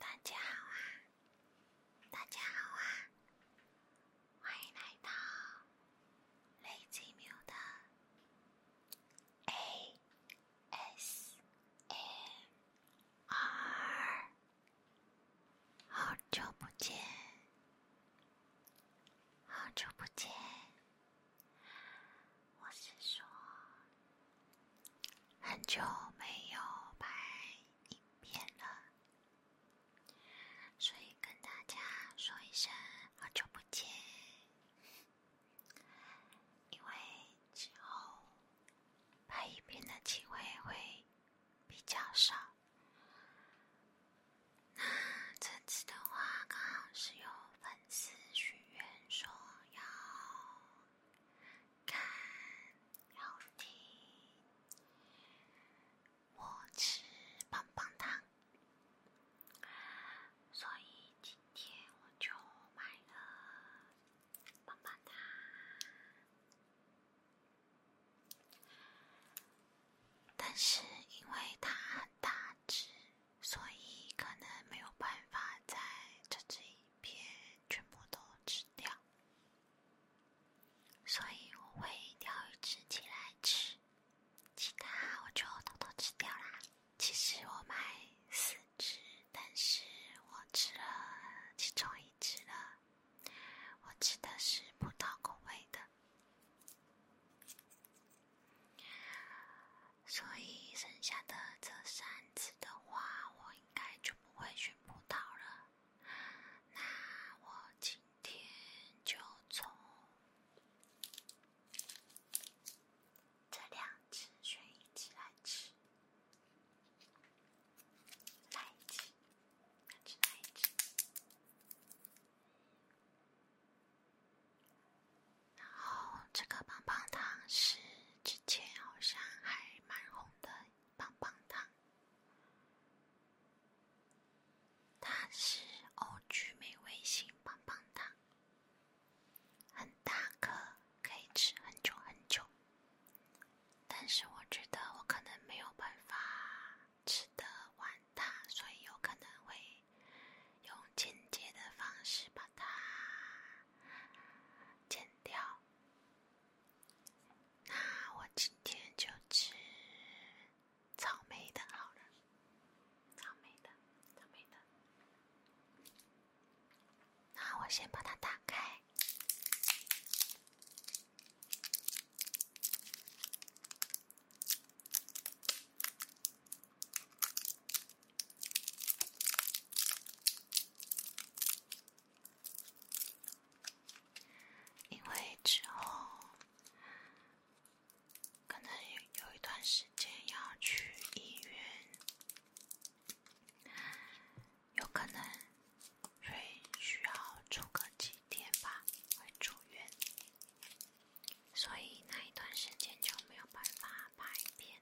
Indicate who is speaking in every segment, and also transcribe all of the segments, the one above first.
Speaker 1: 大家好啊！大家好啊！欢迎来到雷吉喵的 A。S M R，好久不见，好久不见。我是说，很久没有拍影片了，所以跟大家说一声好久不见。因为之后拍影片的机会会比较少，那这次的话刚好是有粉丝许愿说要看要听我吃棒棒糖。所以今天我就买了棒棒糖，但是因为它很大只，所以可能没有办法在这支全部都吃掉，所以我会挑一支起来吃，其他我就偷偷吃掉啦。其实我买四只，但是我吃了其中一只了。我吃的是葡萄口味的，所以剩下的这三只的话，我应该就不会选葡萄了。那我今天就从。这两只选一只来吃，来一只，来一只，然后这个棒棒糖是之前好像还蛮红的棒棒糖，它是欧菊美味星棒棒糖。很大颗，可以吃很久很久。但是我觉得我可能没有办法吃得完它，所以有可能会用间接的方式把它剪掉。那我今天就吃草莓的好了，草莓的，草莓的。那我先把它打开，因为之后。可能有一段时间要去医院，有可能需需要住个几天吧，会住院，所以那一段时间就没有办法拍片，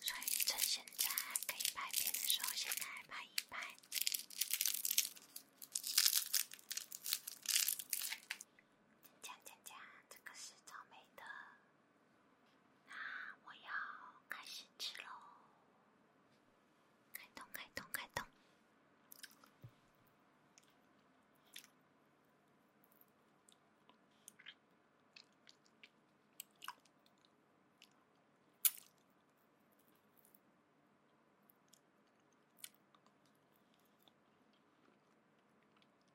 Speaker 1: 所以趁现在可以拍片的时候，现在拍一拍。讲讲讲，这个是草莓的，那我要开始吃喽，开动开动开动。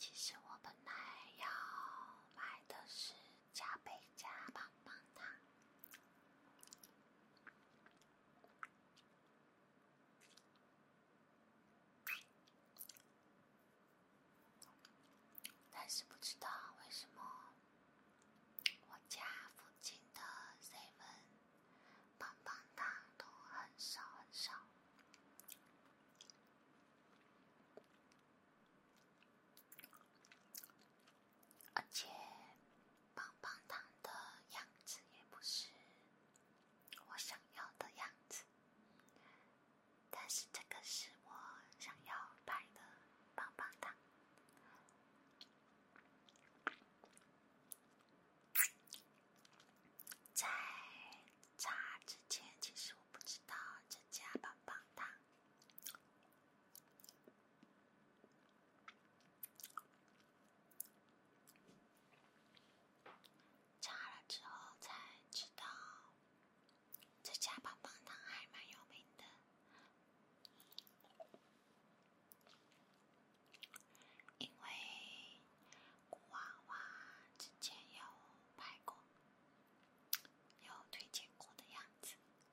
Speaker 1: 其实我本来要买的是加倍加棒棒糖。但是不知道为什么，我家附近的 Seven 胖胖糖都很少很少。而且，棒棒糖的样子也不是我想要的样子。但是这个是我想要拍的棒棒糖。在炸之前，其实我不知道这家棒棒糖。查了之后才知道，这家棒棒糖还蛮有名的，因为古娃娃之前有拍过，有推荐过的样子。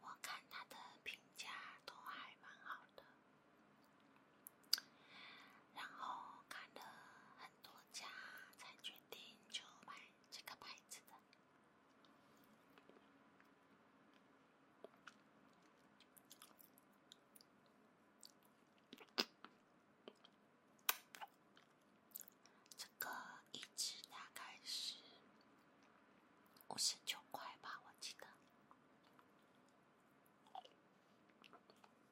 Speaker 1: 我看他的评价都还蛮好的。然后看了很多家，才决定就买这个牌子的。这个一支大概是五十九块吧，我记得。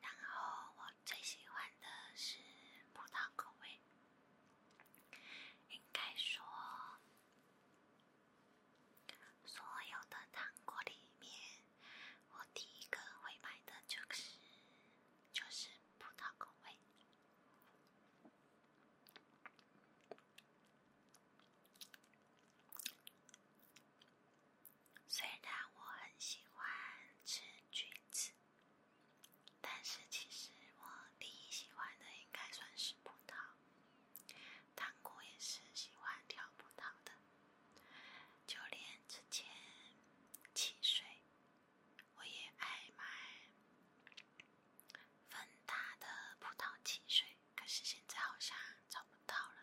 Speaker 1: 然后我最喜欢的是葡萄口味，应该说所有的糖果里面，我第一个会买的就是就是葡萄口味。虽然我很喜欢吃橘子，但是其实我第一喜欢的应该算是葡萄。糖果也是喜欢挑葡萄的，就连之前汽水。我也爱买芬达的葡萄汽水，可是现在好像找不到了。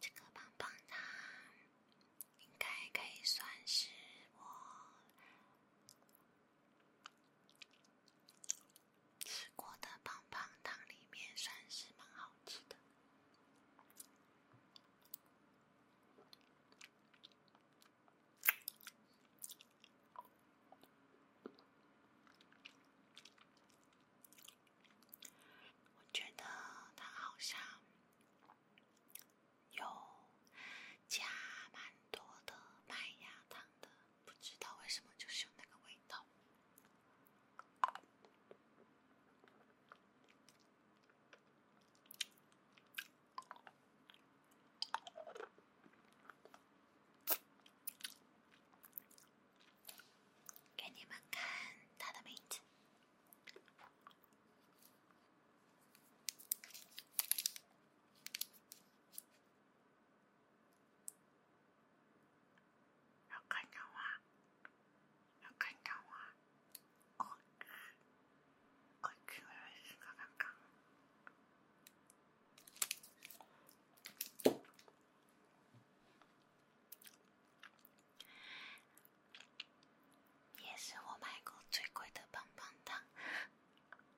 Speaker 1: 这个棒棒糖应该可以算是我。吃过的棒棒糖里面算是蛮好吃的，我觉得它好像有加蛮多的麦芽糖的。不知道为什么，就是有那个味道。给你们看它的名字。也是我买过最贵的棒棒糖。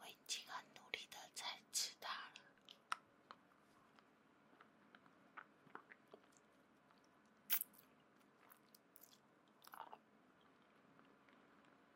Speaker 1: 我已经很努力的在吃它了。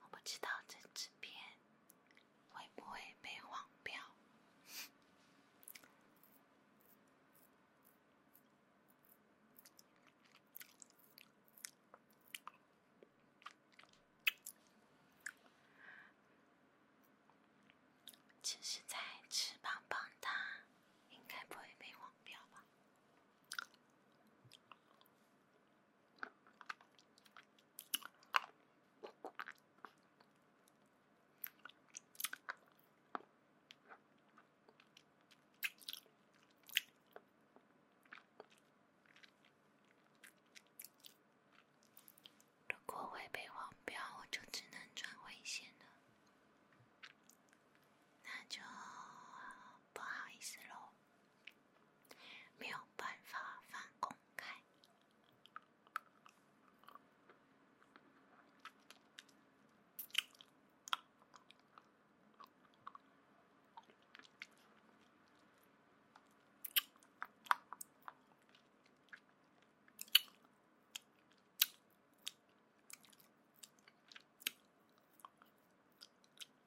Speaker 1: 我不知道这支片会不会被黄标。只是在吃棒棒糖，应该不会被黄标吧。如果会被黄标，我就只能转回线了，那就不好意思喽。没有办法放公开。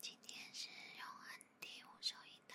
Speaker 1: 今天是用 ND 五收音的。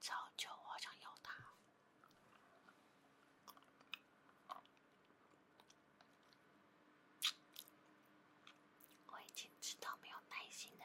Speaker 1: 早就我好想要它。我已经知道没有耐心了。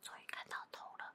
Speaker 1: 终于看到头了。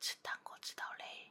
Speaker 1: 这档子我知道嘞。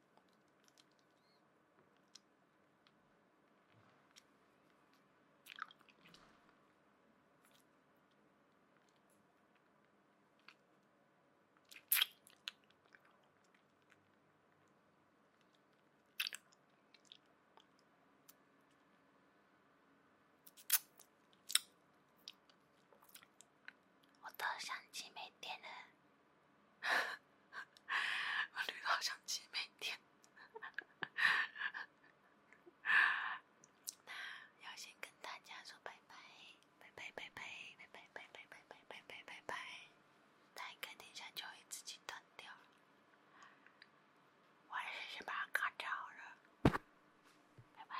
Speaker 1: 我的相机没电了。我绿岛相机没电，那要先跟大家说拜拜，拜拜拜拜拜拜拜拜拜拜拜，拜，那肯定香就会自己断掉。我还是先把卡掉了，拜拜。